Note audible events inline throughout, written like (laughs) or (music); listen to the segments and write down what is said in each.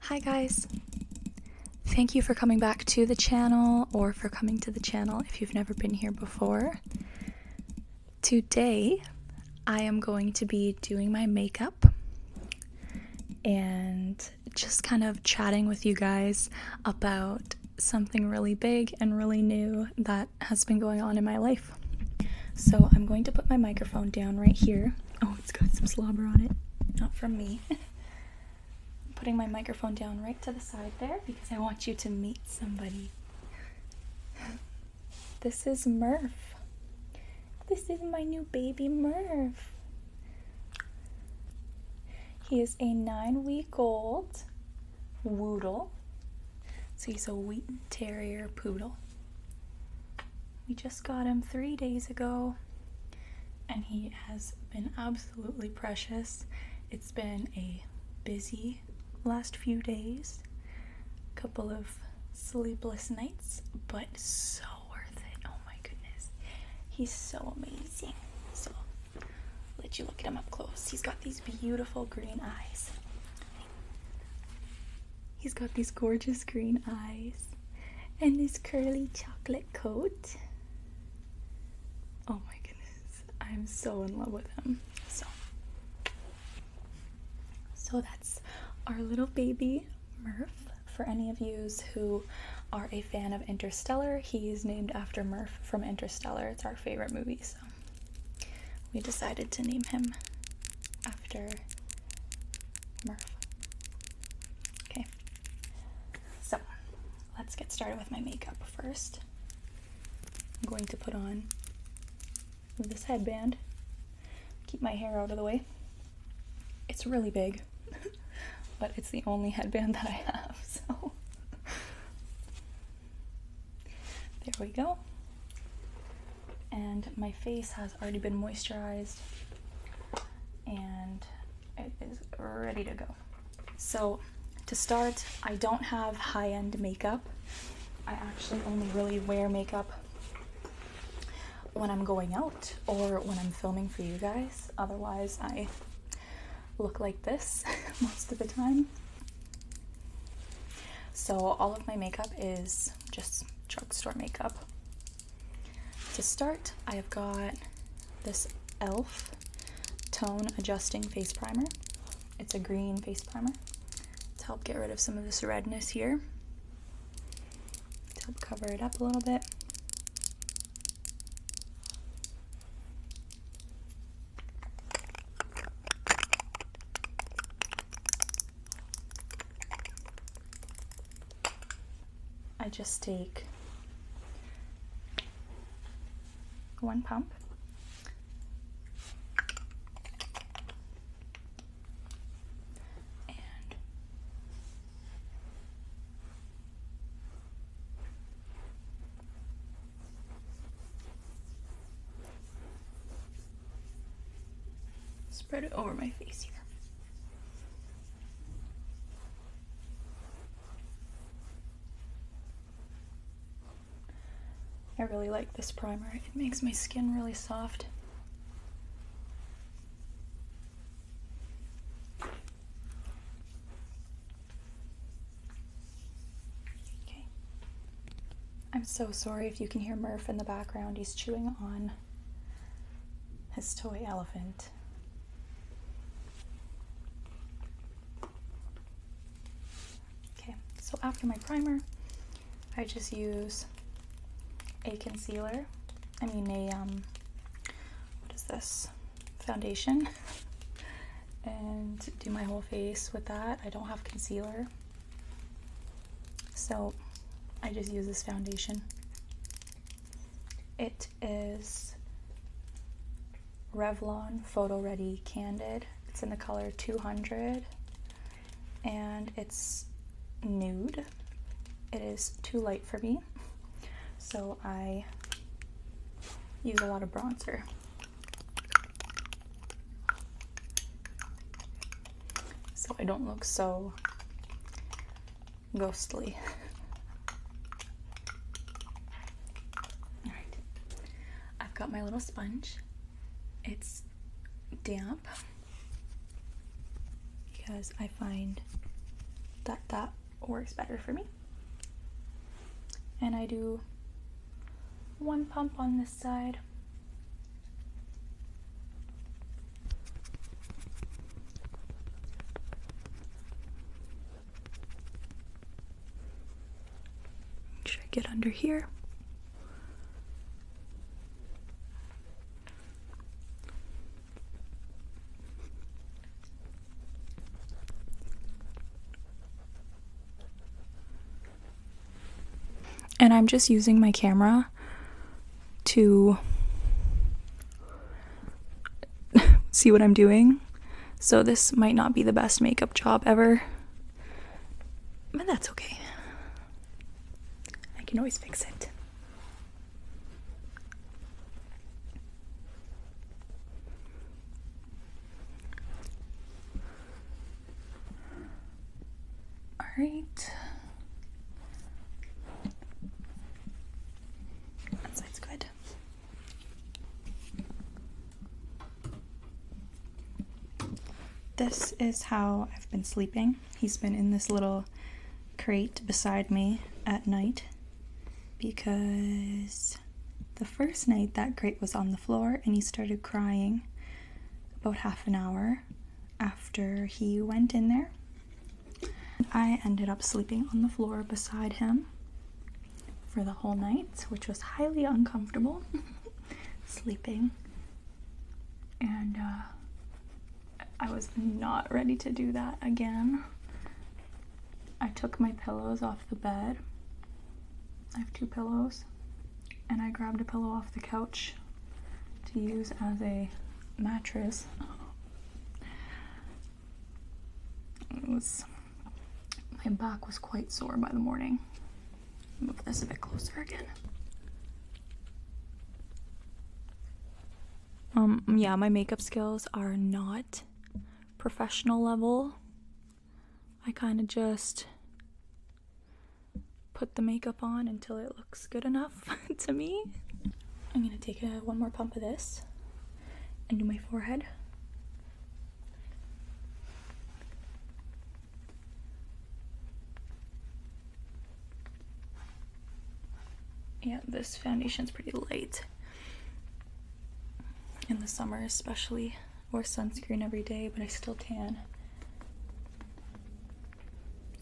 Hi guys! Thank you for coming back to the channel or for coming to the channel if you've never been here before. Today I am going to be doing my makeup and just kind of chatting with you guys about something really big and really new that has been going on in my life. So I'm going to put my microphone down right here. Oh, Oh, it's got some slobber on it. Not from me. I'm (laughs) putting my microphone down right to the side there because I want you to meet somebody. This is Murph. This is my new baby Murph. He is a nine week old Woodle. So he's a Wheaten Terrier Poodle. We just got him three days ago, and he has been absolutely precious. It's been a busy last few days, a couple of sleepless nights, but so worth it. Oh my goodness. He's so amazing. So, let you look at him up close. He's got these beautiful green eyes. He's got these gorgeous green eyes and his curly chocolate coat. Oh my goodness, I'm so in love with him. So, so that's our little baby Murph. For any of yous who are a fan of Interstellar, he is named after Murph from Interstellar. It's our favorite movie, so we decided to name him after Murph. Okay, so let's get started with my makeup first. I'm going to put on this headband, keep my hair out of the way. It's really big, (laughs) but it's the only headband that I have, (laughs) so there we go. And my face has already been moisturized and it is ready to go. So to start, I don't have high-end makeup. I actually only really wear makeup when I'm going out or when I'm filming for you guys. Otherwise, I look like this (laughs) most of the time. So all of my makeup is just drugstore makeup. To start, I have got this e.l.f. Tone Adjusting Face Primer. It's a green face primer to help get rid of some of this redness here, to help cover it up a little bit. I just take one pump and spread it over my face here. I really like this primer. It makes my skin really soft. Okay. I'm so sorry if you can hear Murph in the background. He's chewing on on his toy elephant. Okay, so after my primer, I just use a concealer. I mean a, um, what is this? Foundation. (laughs) and do my whole face with that. I don't have concealer. So I just use this foundation. It is Revlon Photo Ready Candid. It's in the color 200 and it's nude. It is too light for me, so I use a lot of bronzer. So I don't look so ghostly. All right, I've got my little sponge. It's damp because I find that that works better for me. And I do one pump on this side should I get under here? And I'm just using my camera to (laughs) see what I'm doing. So this might not be the best makeup job ever. But that's okay. I can always fix it. All right. That side's good. This is how I've been sleeping. He's been in this little crate beside me at night because the first night that crate was on the floor and he started crying about half an hour after he went in there I ended up sleeping on the floor beside him for the whole night, which was highly uncomfortable (laughs) sleeping. And uh, I was not ready to do that again. I took my pillows off the bed. I have two pillows. And I grabbed a pillow off the couch to use as a mattress was my back was quite sore by the morning. Move this a bit closer again. Um, yeah, my makeup skills are not professional level. I kind of just put the makeup on until it looks good enough. (laughs) to me. I'm gonna take a, one more pump of this and do my forehead. Yeah, this foundation's pretty light. In the summer especially, wear sunscreen every day, but I still tan.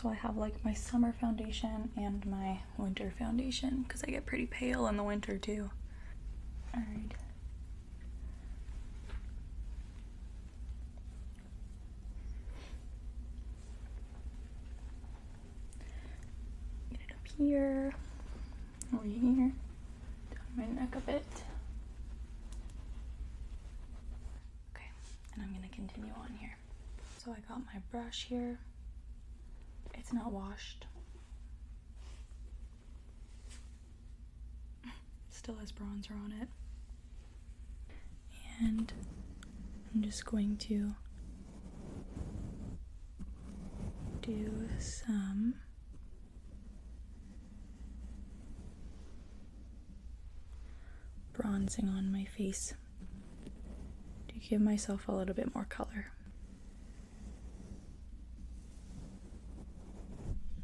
So I have like my summer foundation and my winter foundation because I get pretty pale in the winter too. Alright. Get it up here, over here, down my neck a bit. Okay, and I'm going to continue on here. So I got my brush here. It's not washed. Still has bronzer on it. And I'm just going to do some bronzing on my face to give myself a little bit more color.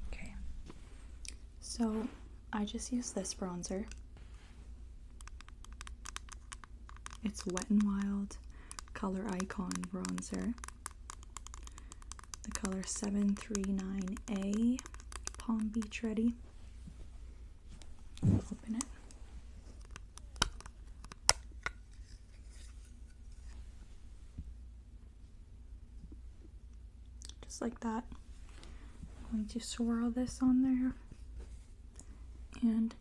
Okay, so I just use this bronzer. It's Wet and Wild Color Icon Bronzer. The color 739A Palm Beach Ready. Open it. Just like that. I'm going to swirl this on there and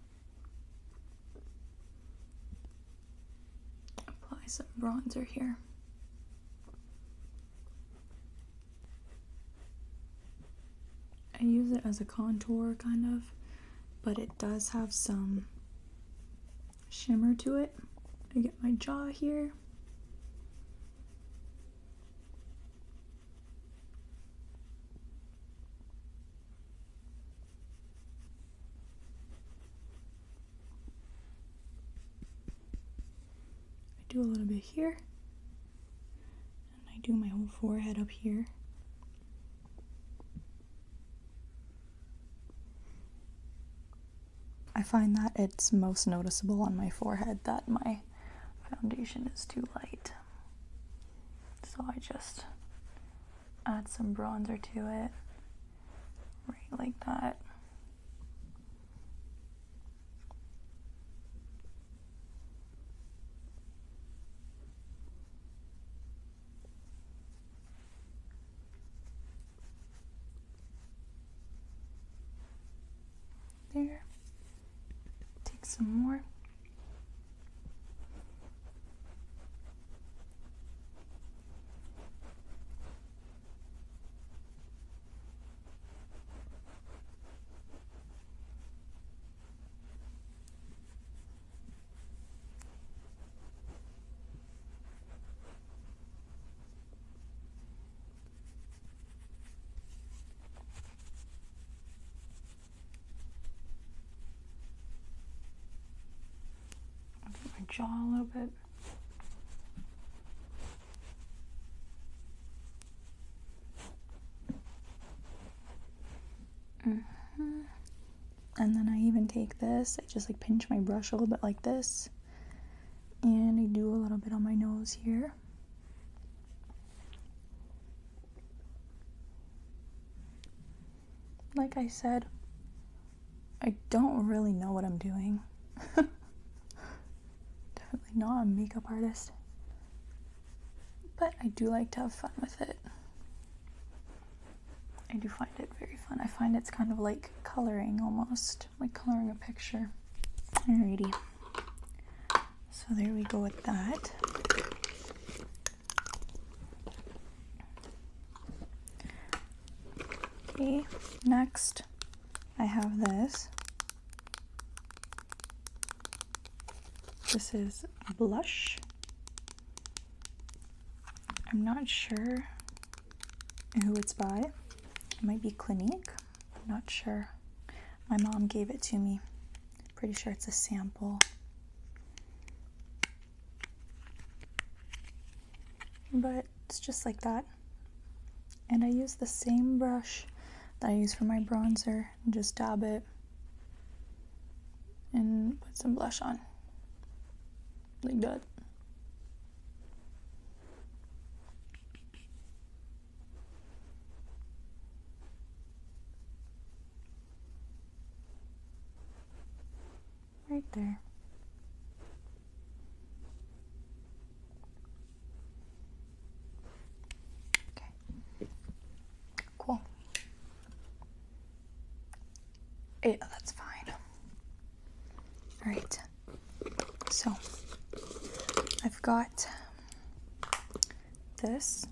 apply some bronzer here. I use it as a contour kind of, but it does have some shimmer to it. I get my jaw here. I do a little bit here I do my whole forehead up here. I find that it's most noticeable on my forehead that my foundation is too light. So I just add some bronzer to it, right like that. There. Take some more my jaw a little bit. Mm -hmm. And then I even take this, I just like pinch my brush a little bit like this. And I do a little bit on my nose here. Like I said, I don't really know what I'm doing. (laughs) Definitely not a makeup artist. But I do like to have fun with it. I do find it very fun. I find it's kind of like coloring almost, like coloring a picture. Alrighty. So there we go with that. Okay, next I have this. This is blush. I'm not sure who it's by. It might be Clinique. I'm not sure. My mom gave it to me. Pretty sure it's a sample. But it's just like that. And I use the same brush that I use for my bronzer just dab it and put some blush on. Like that. Right there. Okay. Cool. Yeah, that's fine. All right. So I've got this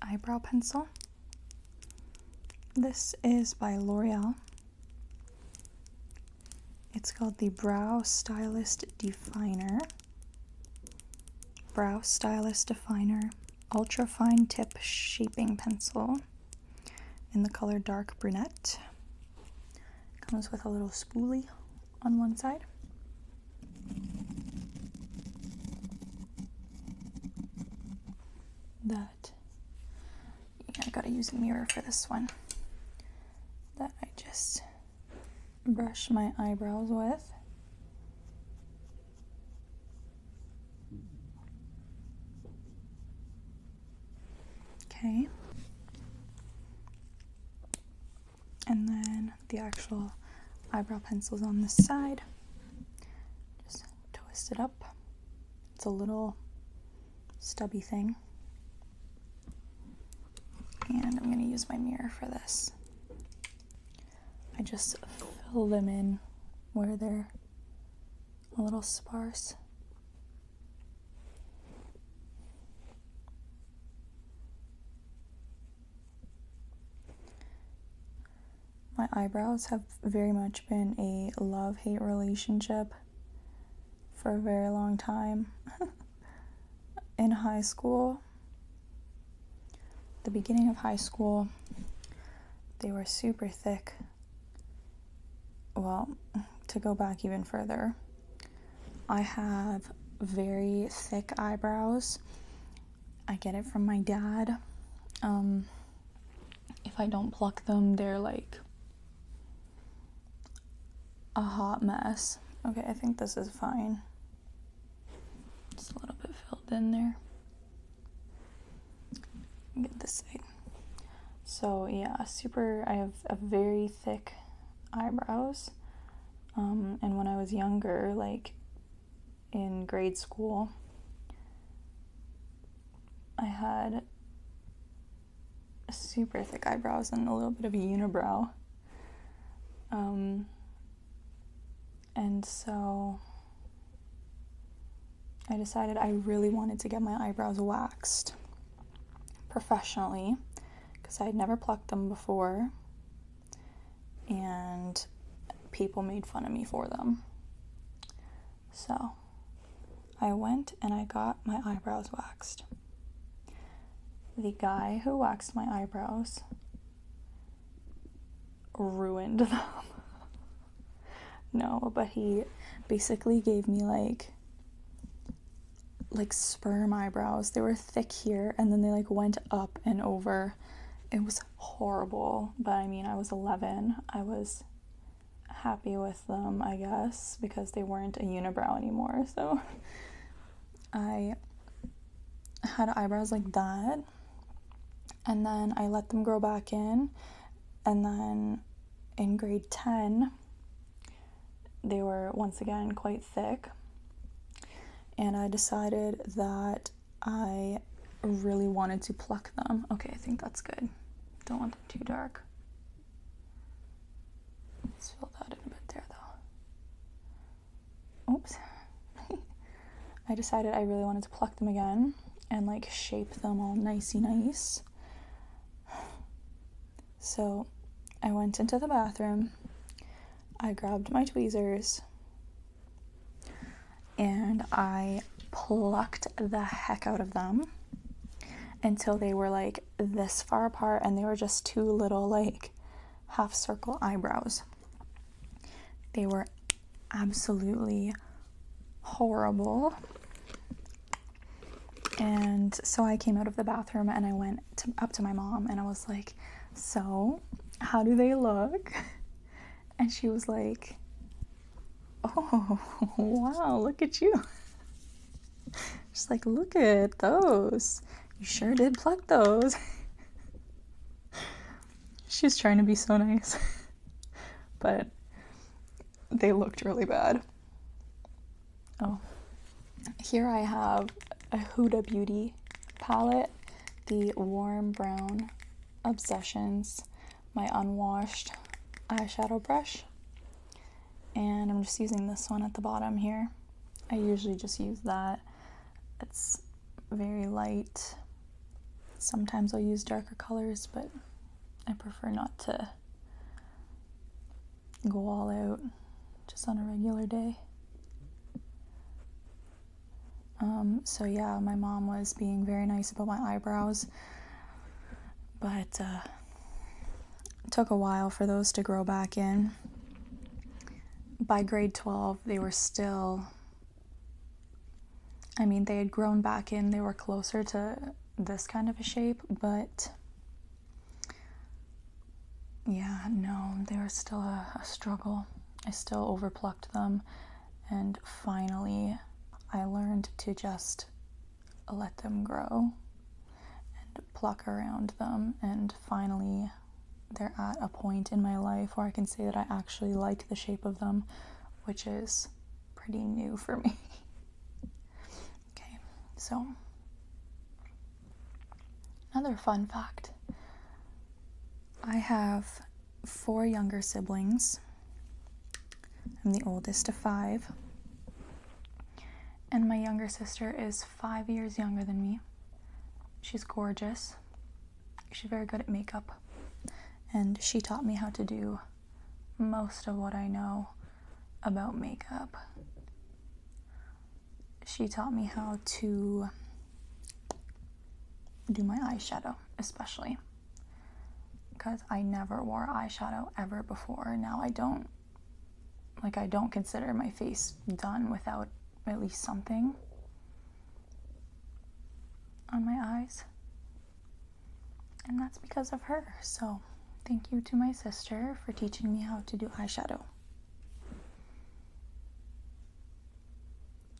eyebrow pencil. This is by L'Oreal. It's called the Brow Stylist Definer. Brow Stylus Definer Ultra Fine Tip Shaping Pencil in the color Dark Brunette. Comes with a little spoolie on one side. That, yeah, I gotta use a mirror for this one. That I just brush my eyebrows with. Okay. And then the actual eyebrow pencil's on this side. Just twist it up. It's a little stubby thing. And I'm gonna use my mirror for this. I just fill them in where they're a little sparse. My eyebrows have very much been a love hate relationship for a very long time. (laughs) In high school, the beginning of high school. They were super thick. Well, to go back even further, I have very thick eyebrows. I get it from my dad. Um, if I don't pluck them, they're like a hot mess. Okay, I think this is fine. It's a little bit filled in there. Get this side. So yeah, super. I have a very thick eyebrows, um, and when I was younger, like in grade school, I had super thick eyebrows and a little bit of a unibrow. Um, and so I decided I really wanted to get my eyebrows waxed professionally because I had never plucked them before and people made fun of me for them. So I went and I got my eyebrows waxed. The guy who waxed my eyebrows ruined (laughs) them. no, but he basically gave me like like sperm eyebrows. They were thick here and then they like went up and over. It was horrible, but I mean, I was 11. I was happy with them, I guess, because they weren't a unibrow anymore. So (laughs) I had eyebrows like that. And then I let them grow back in. And then in grade 10, they were once again quite thick. And I decided that I really wanted to pluck them. Okay, I think that's good. Don't want them too dark. Let's fill that in a bit there though oops, (laughs) I decided I really wanted to pluck them again and like shape them all nicey nice. So I went into the bathroom, I grabbed my tweezers, and I plucked the heck out of them until they were like this far apart and they were just two little like half circle eyebrows. They were absolutely horrible. And so I came out of the bathroom and I went up to my mom and I was like, So, how do they look? (laughs) And she was like, Oh, (laughs) wow, look at you. Just (laughs) like, Look at those. You sure did pluck those. She's trying to be so nice, (laughs) but they looked really bad. Oh, here I have a Huda Beauty palette, the warm brown Obsessions, my unwashed eyeshadow brush, and I'm just using this one at the bottom here. I usually just use that. It's very light. Sometimes I'll use darker colors, but I prefer not to go all out just on a regular day. Um, so yeah, my mom was being very nice about my eyebrows, but uh, took a while for those to grow back in by grade 12, they were still, I mean, they had grown back in, they were closer to this kind of a shape, but yeah, no, they were still a struggle. I still overplucked them, and finally, I learned to just let them grow and pluck around them, and finally, they're at a point in my life where I can say that I actually like the shape of them, which is pretty new for me. (laughs) okay, so another fun fact I have four younger siblings. I'm the oldest of five. And my younger sister is five years younger than me. She's gorgeous she's very good at makeup and she taught me how to do most of what I know about makeup. She taught me how to do my eyeshadow, especially because I never wore eyeshadow ever before. Now I don't like I don't consider my face done without at least something on my eyes. And that's because of her. So, thank you to my sister for teaching me how to do eyeshadow.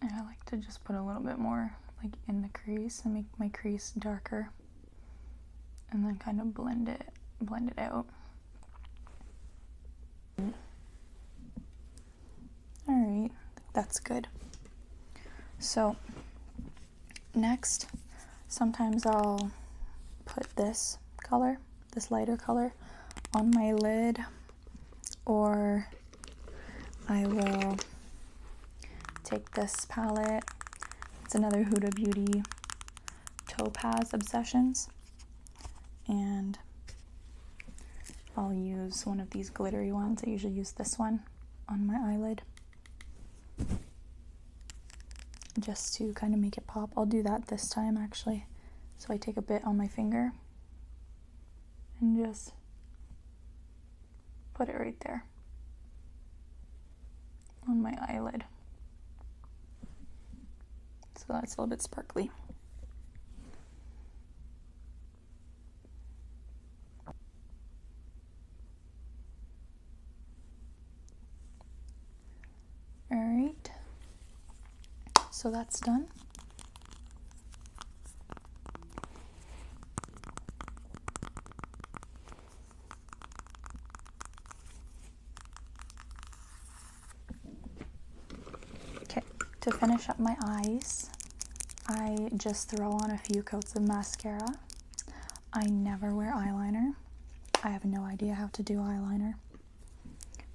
And I like to just put a little bit more like in the crease and make my crease darker. And then kind of blend it, blend it out. All right, that's good. So next, sometimes I'll put this color, this lighter color, on my lid or I will take this palette. It's another Huda Beauty Topaz Obsessions and I'll use one of these glittery ones. I usually use this one on my eyelid just to kind of make it pop. I'll do that this time actually. So I take a bit on my finger and just put it right there on my eyelid. So that's a little bit sparkly. All right, so that's done. Okay, to finish up my eyes, I just throw on a few coats of mascara. I never wear eyeliner. I have no idea how to do eyeliner.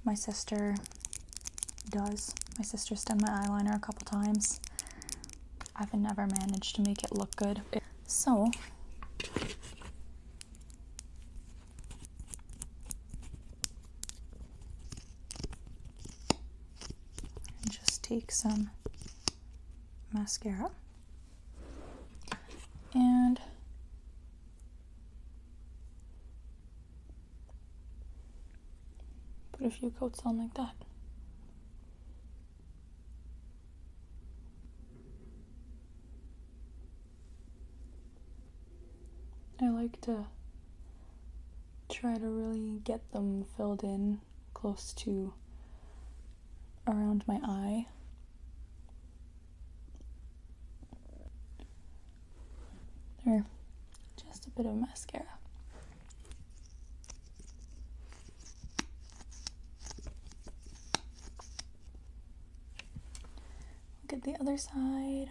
My sister does. My sister's done my eyeliner a couple times. I've never managed to make it look good. So, and just take some mascara and put a few coats on like that. I like to try to really get them filled in close to around my eye. There, just a bit of mascara. Look at the other side.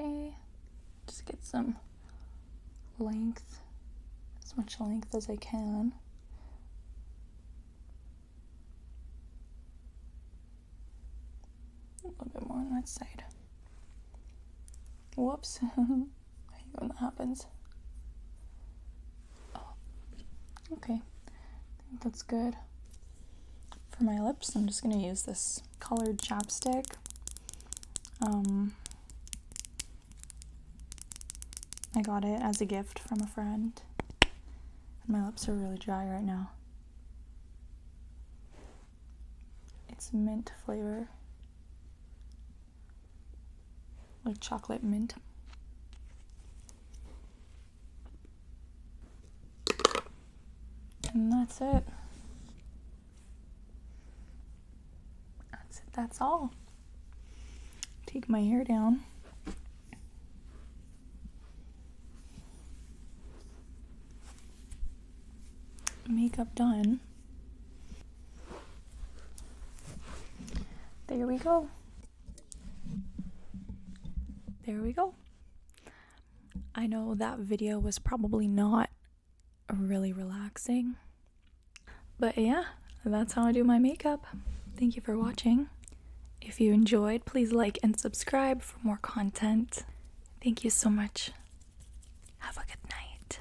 Okay, just get some length, as much length as I can. A little bit more on that side. Whoops, (laughs) I hate when that happens. Oh. okay, I think that's good. For my lips, I'm just gonna use this colored chapstick. Um, I got it as a gift from a friend. And my lips are really dry right now. It's mint flavor. Like chocolate mint. And that's it. That's it. That's all. Take my hair down. Makeup done. There we go. There we go. I know that video was probably not really relaxing. But yeah, that's how I do my makeup. Thank you for watching. If you enjoyed, please like and subscribe for more content. Thank you so much. Have a good night.